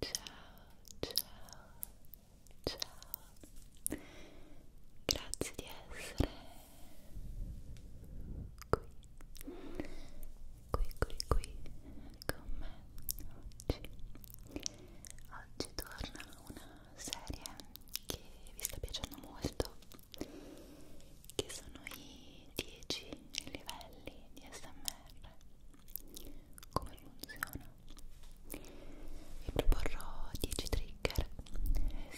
ciao, ciao, ciao. Grazie di essere qui, qui, qui, qui con me oggi. Oggi torna una serie che vi sta piacendo molto, che sono i 10 livelli di SMR come funziona vi proporrò 10 trigger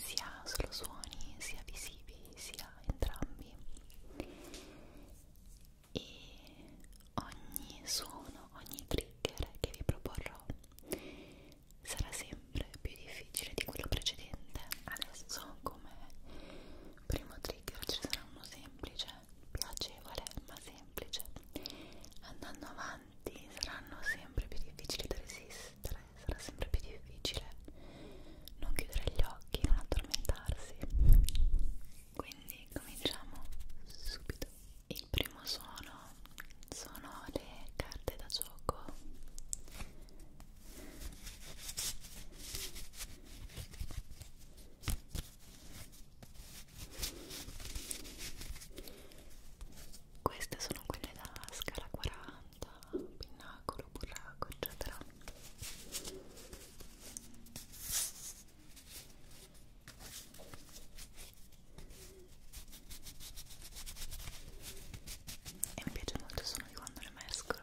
sia solo suoni sia visivi sia entrambi e ogni suono ogni trigger che vi proporrò sarà sempre più difficile di quello precedente adesso come primo trigger ci sarà uno semplice piacevole ma semplice andando avanti saranno sempre più difficili da resistere sarà sempre più difficile non chiudere gli occhi non addormentarsi quindi cominciamo subito il primo suono sono le carte da gioco queste sono quelle da scala 40, pinnacolo, burraco, eccetera. E mi piace molto il suono di quando le mescolo.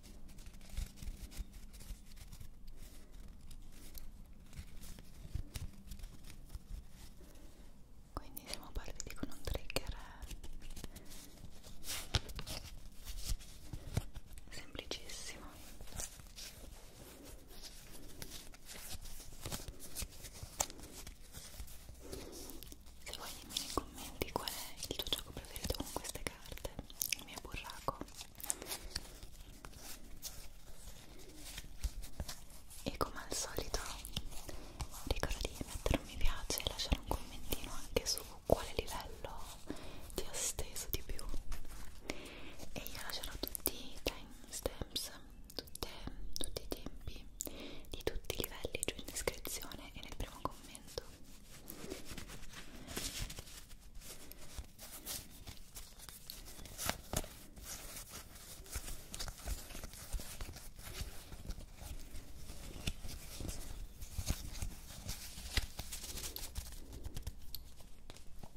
quindi siamo partiti con un trigger semplicissimo se vuoi dimmi nei commenti qual è il tuo gioco preferito con queste carte il mio burraco e come al solito ricorda di mettere un mi piace e lasciare un commentino anche su quale livello ti ha steso di più e io lascerò tutti i timestamps tutti i tempi di tutti i livelli giù in descrizione e nel primo commento momento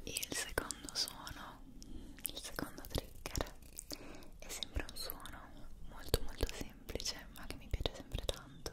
il secondo suono, il secondo trigger è sempre un suono molto molto semplice ma che mi piace sempre tanto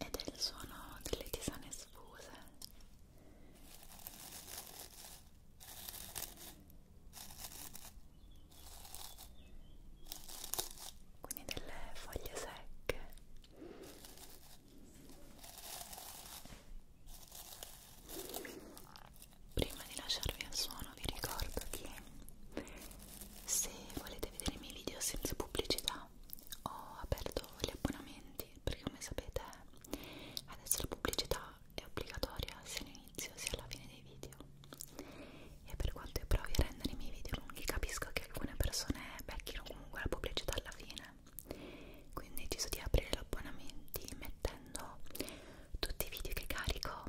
ed è il suono delle tisane sfuse quindi delle foglie secche prima di lasciarvi al suono vi ricordo che se volete vedere i miei video senza pubblicità settimana ho aperto gli abbonamenti perché come sapete adesso la pubblicità è obbligatoria sia all'inizio sia alla fine dei video e per quanto io provi a rendere i miei video lunghi capisco che alcune persone becchino comunque la pubblicità alla fine quindi ho deciso di aprire gli abbonamenti mettendo tutti i video che carico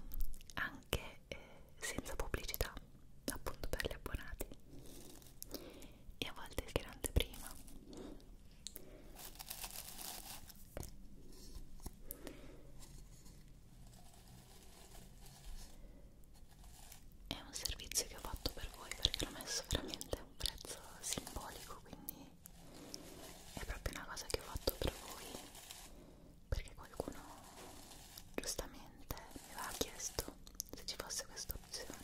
anche eh, senza pubblicità appunto per gli abbonati e a volte il grande prima è un servizio che ho fatto per voi perché l'ho messo veramente a un prezzo simbolico quindi è proprio una cosa che ho fatto per voi perché qualcuno giustamente mi aveva chiesto se ci fosse questa opzione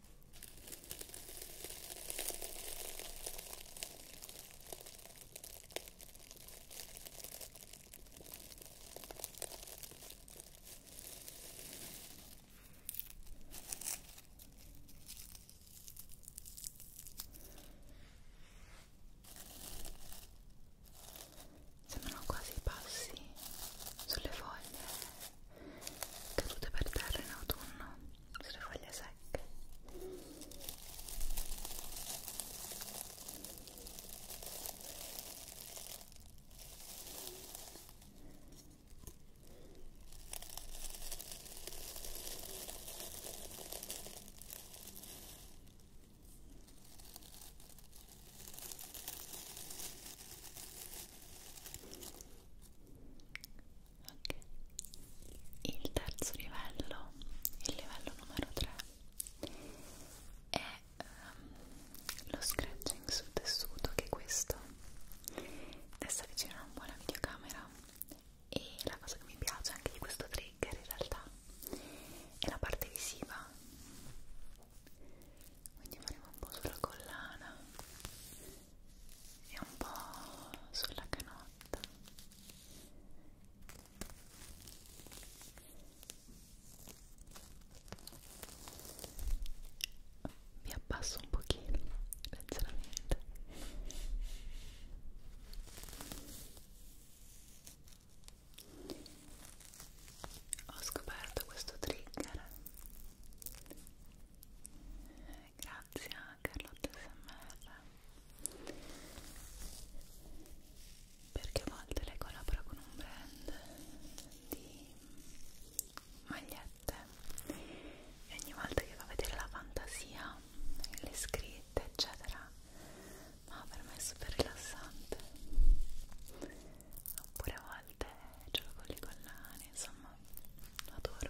Sembrano quasi i passi sulle foglie cadute per terra in autunno sulle foglie secche ok il terzo livello il livello numero 3 è um, lo scratching sul tessuto che è questo adesso avvicino un po' la videocamera e la cosa che mi piace anche di questo trigger in realtà è la parte visiva quindi faremo un po' sulla collana è un po' sulla canotta mi abbasso un pochino leggermente ho scoperto questo trigger grazie a Carlotta SMR perché a volte lei collabora con un brand di magliette e ogni volta che va a vedere la fantasia le scritte eccetera ma per me è super rilassante oppure a volte gioco con le collane, insomma, lo adoro.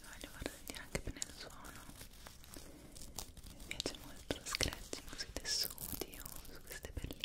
voglio far sentire anche bene il suono mi piace molto lo scratching sui tessuti o su queste perline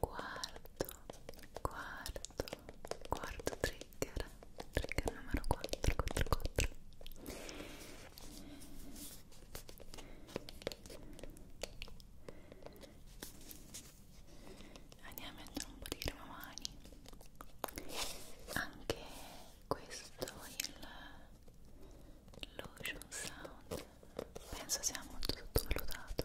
quarto quarto quarto trigger trigger trigger numero 4 4 4 andiamo a mettere un po' di crema mani anche questo il lotion sound penso sia molto sottovalutato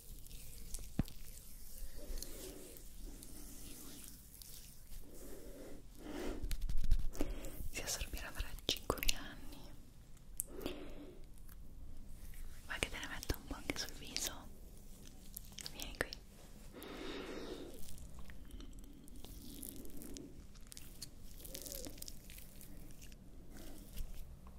Si assorbirà fra 5.000 anni. Vuoi che te ne metta un po' anche sul viso? Vieni qui.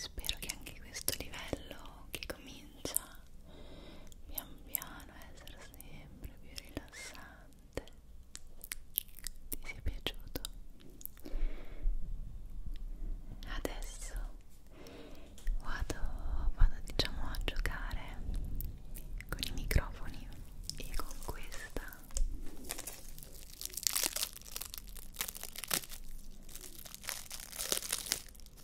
Spero che anche questo livello che comincia comincia cioè, pian piano a essere sempre più rilassante ti sia piaciuto adesso vado, vado diciamo a giocare con i microfoni e con questa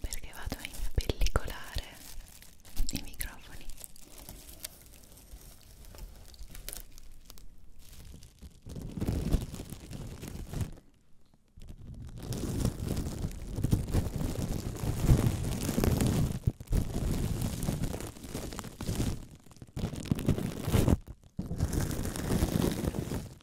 perché vado in pellicolare i microfoni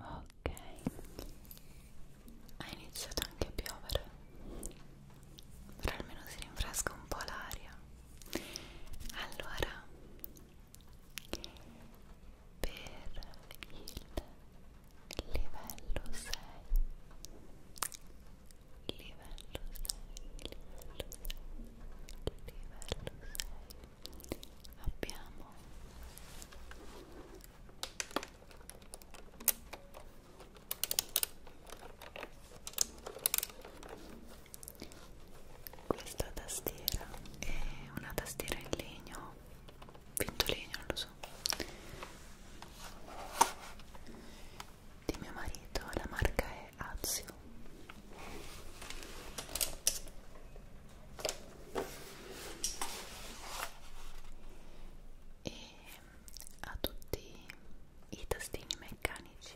Ok, ha iniziato anche a piovere, però almeno si rinfresca un po' l'aria. Allora, per il livello 6 livello 6 livello 6 livello 6 abbiamo questa tastiera è una tastiera in legno vinto legno non lo so sposo di mio marito la marca è Azio e ha tutti i tastini meccanici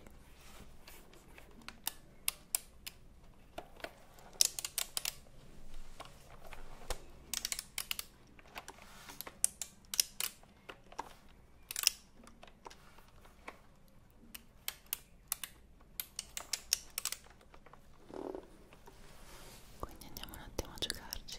quindi andiamo un attimo a giocarci.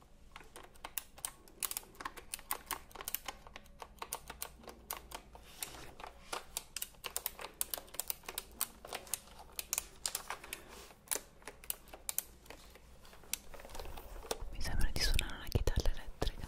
Mi sembra di suonare una chitarra elettrica.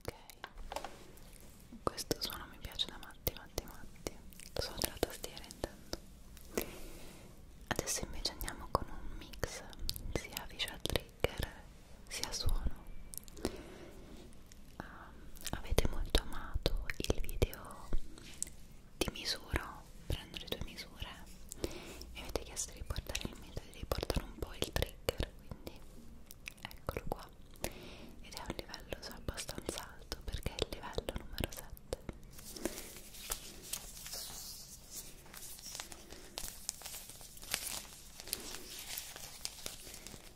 Ok, questo suono mi piace da matti, matti, matti. Lo suono della tastiera intanto. Adesso invece andiamo con un mix sia visual trigger sia suono um, avete molto amato il video di misura, prendo le tue misure mi avete chiesto di portare il metodo, di portare un po' il trigger quindi eccolo qua ed è un livello so, abbastanza alto perché è il livello numero 7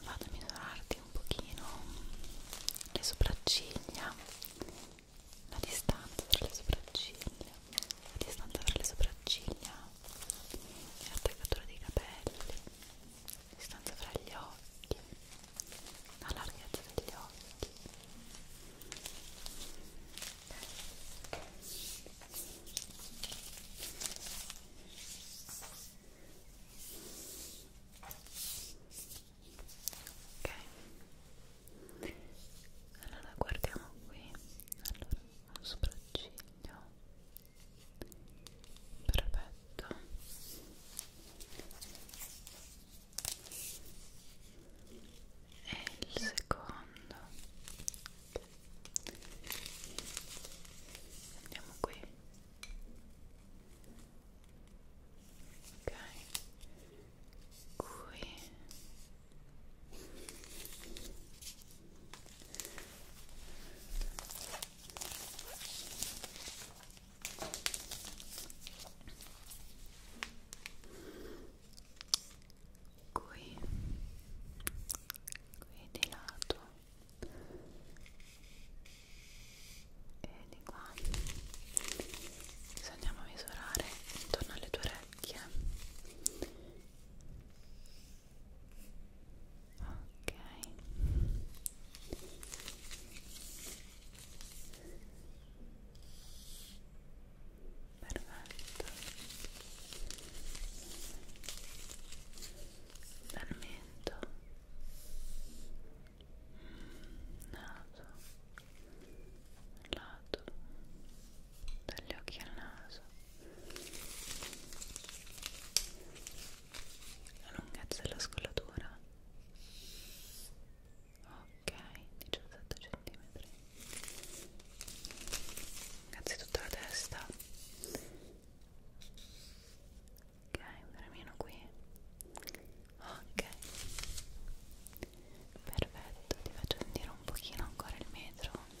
vado a misurarti un pochino le sopracciglia la distanza tra le sopracciglia la distanza tra le sopracciglia e l'attaccatura dei capelli la distanza fra gli occhi la larghezza degli occhi ok ok allora guardiamo qui allora un sopracciglio perfetto e il secondo andiamo qui ok qui qui qui di lato e di qua adesso andiamo a misurare intorno alle tue orecchie ok perfetto dal mento naso lato dagli occhi al naso la lunghezza della scollatura ok 17 cm innanzitutto la testa ok premino qui ok perfetto ti faccio sentire un pochino ancora il metro ok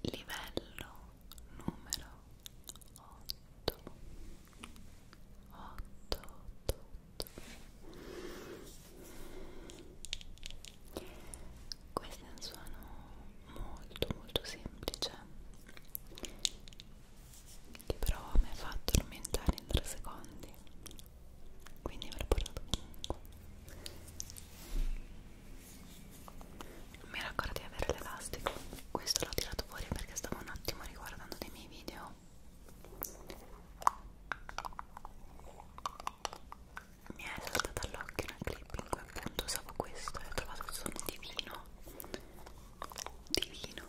Livello numero 8 8 8 8 Questo è un suono molto molto semplice che però mi ha fatto addormentare in 3 secondi quindi me l'ho portato comunque non mi era ancora di avere l'elastico questo l'ho tirato fuori perché stavo un attimo riguardando dei miei video mi è saltata all'occhio una clip in cui appunto usavo questo e ho trovato il suono divino divino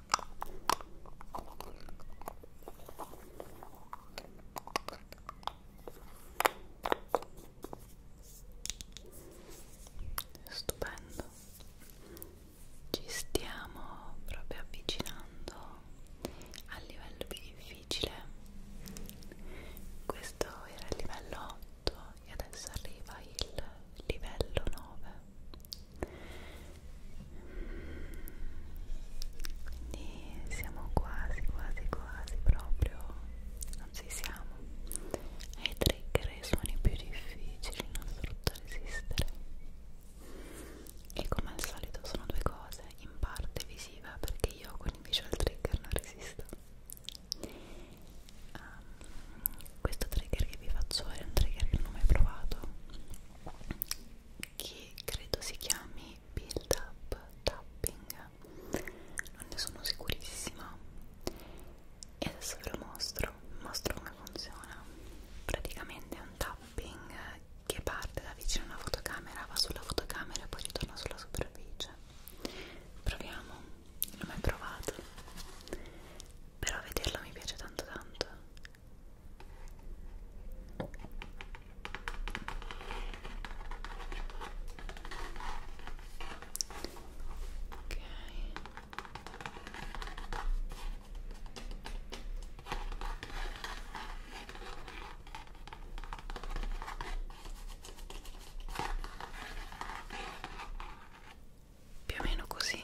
Stupendo, ci stiamo proprio avvicinando al livello più difficile. Questo era il livello 8 e adesso arriva il livello 9 quindi siamo quasi quasi quasi proprio non ci siamo ai trigger i suoni più difficili non frutta resistere e come al solito sono due cose in parte visiva perché io con il visual trigger non resisto um, questo trigger che vi faccio è un trigger che non ho mai provato che credo si chiami build up tapping non ne sono sicurissima e adesso ve lo mostro mostro come funziona praticamente è un tapping che parte da vicino alla fotocamera va sulla fotocamera e poi ritorna sulla superficie proviamo non ho mai provato però vederlo mi piace tanto tanto Ok. Più o meno così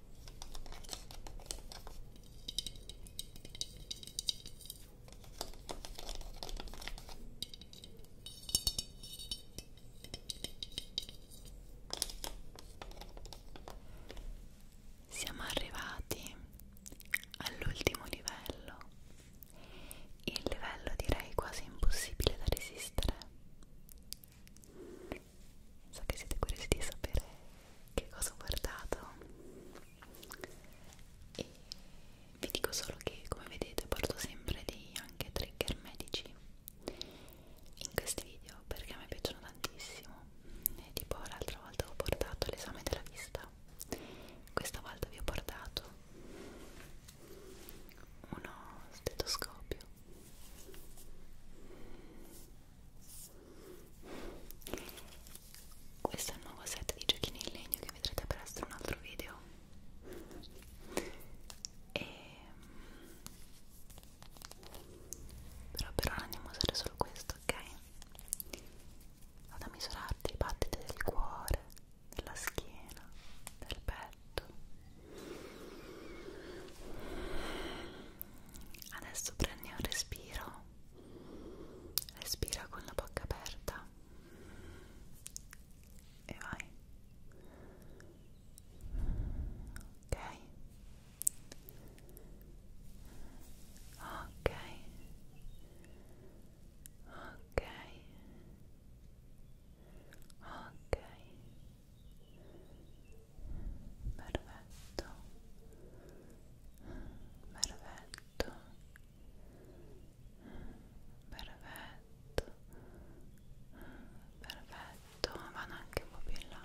Siamo arrivati all'ultimo livello, il livello direi quasi impossibile da resistere so che siete curiosi di sapere che cosa ho portato e vi dico solo che come vedete porto sempre dei anche trigger medici in questi video perché a me piacciono tantissimo e tipo l'altra volta ho portato l'esame della vista questa volta vi ho portato uno stetoscopio questo è un nuovo set di giochini in legno che vedrete presto in un altro video e... però per ora andiamo a usare solo questo ok? vado a misurarti i battiti del cuore della schiena del petto Adesso prendi un respiro, respira con la bocca aperta e vai. Ok. Ok. Ok. Ok perfetto perfetto perfetto perfetto vanno anche un po' più in là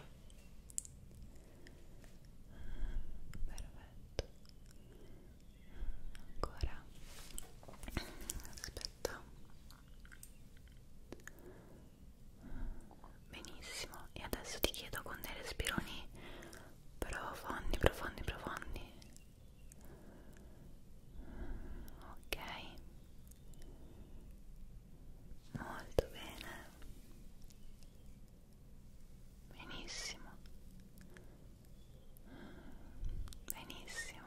perfetto ancora aspetta Benissimo, e adesso ti chiedo con dei respironi profondi, profondi, profondi. Ok. Molto bene. Benissimo. Benissimo.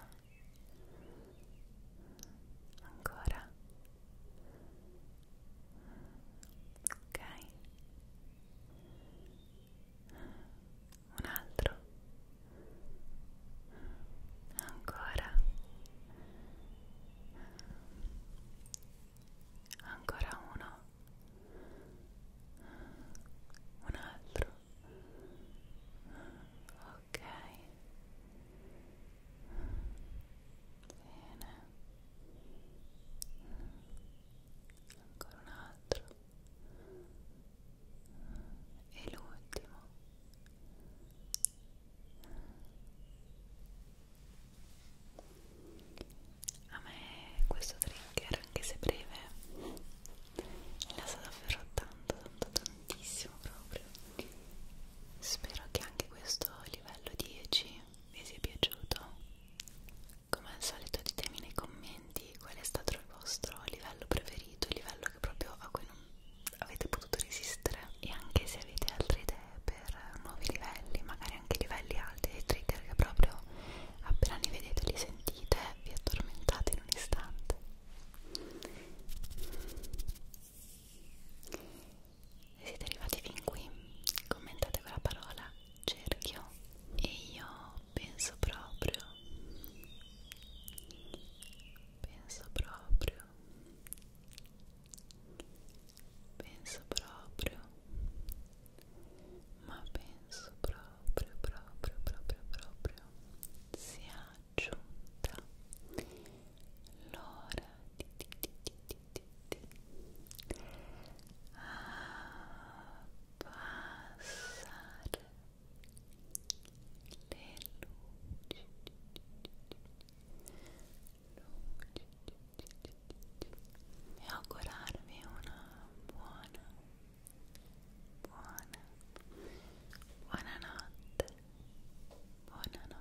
Ancora ok un altro ancora ancora uno un altro ok Bene. Ancora un altro. E l'ultimo. A me questo trigger, anche se breve, mi lascia davvero tanto, tanto, tantissimo proprio. Spero che anche questo livello 10 vi sia piaciuto come al solito ditemi nei commenti qual è stato il vostro livello preferito il livello che proprio a cui non avete potuto resistere e anche se avete altre idee per nuovi livelli magari anche livelli alti dei trigger che proprio appena li vedete li sentite vi addormentate in un istante se siete arrivati fin qui commentate con la parola cerchio e io penso proprio penso proprio penso proprio ma penso proprio proprio proprio proprio si è aggiunta l'ora di, di, di, di a passare le luci e augurarvi una buona buona buonanotte buonanotte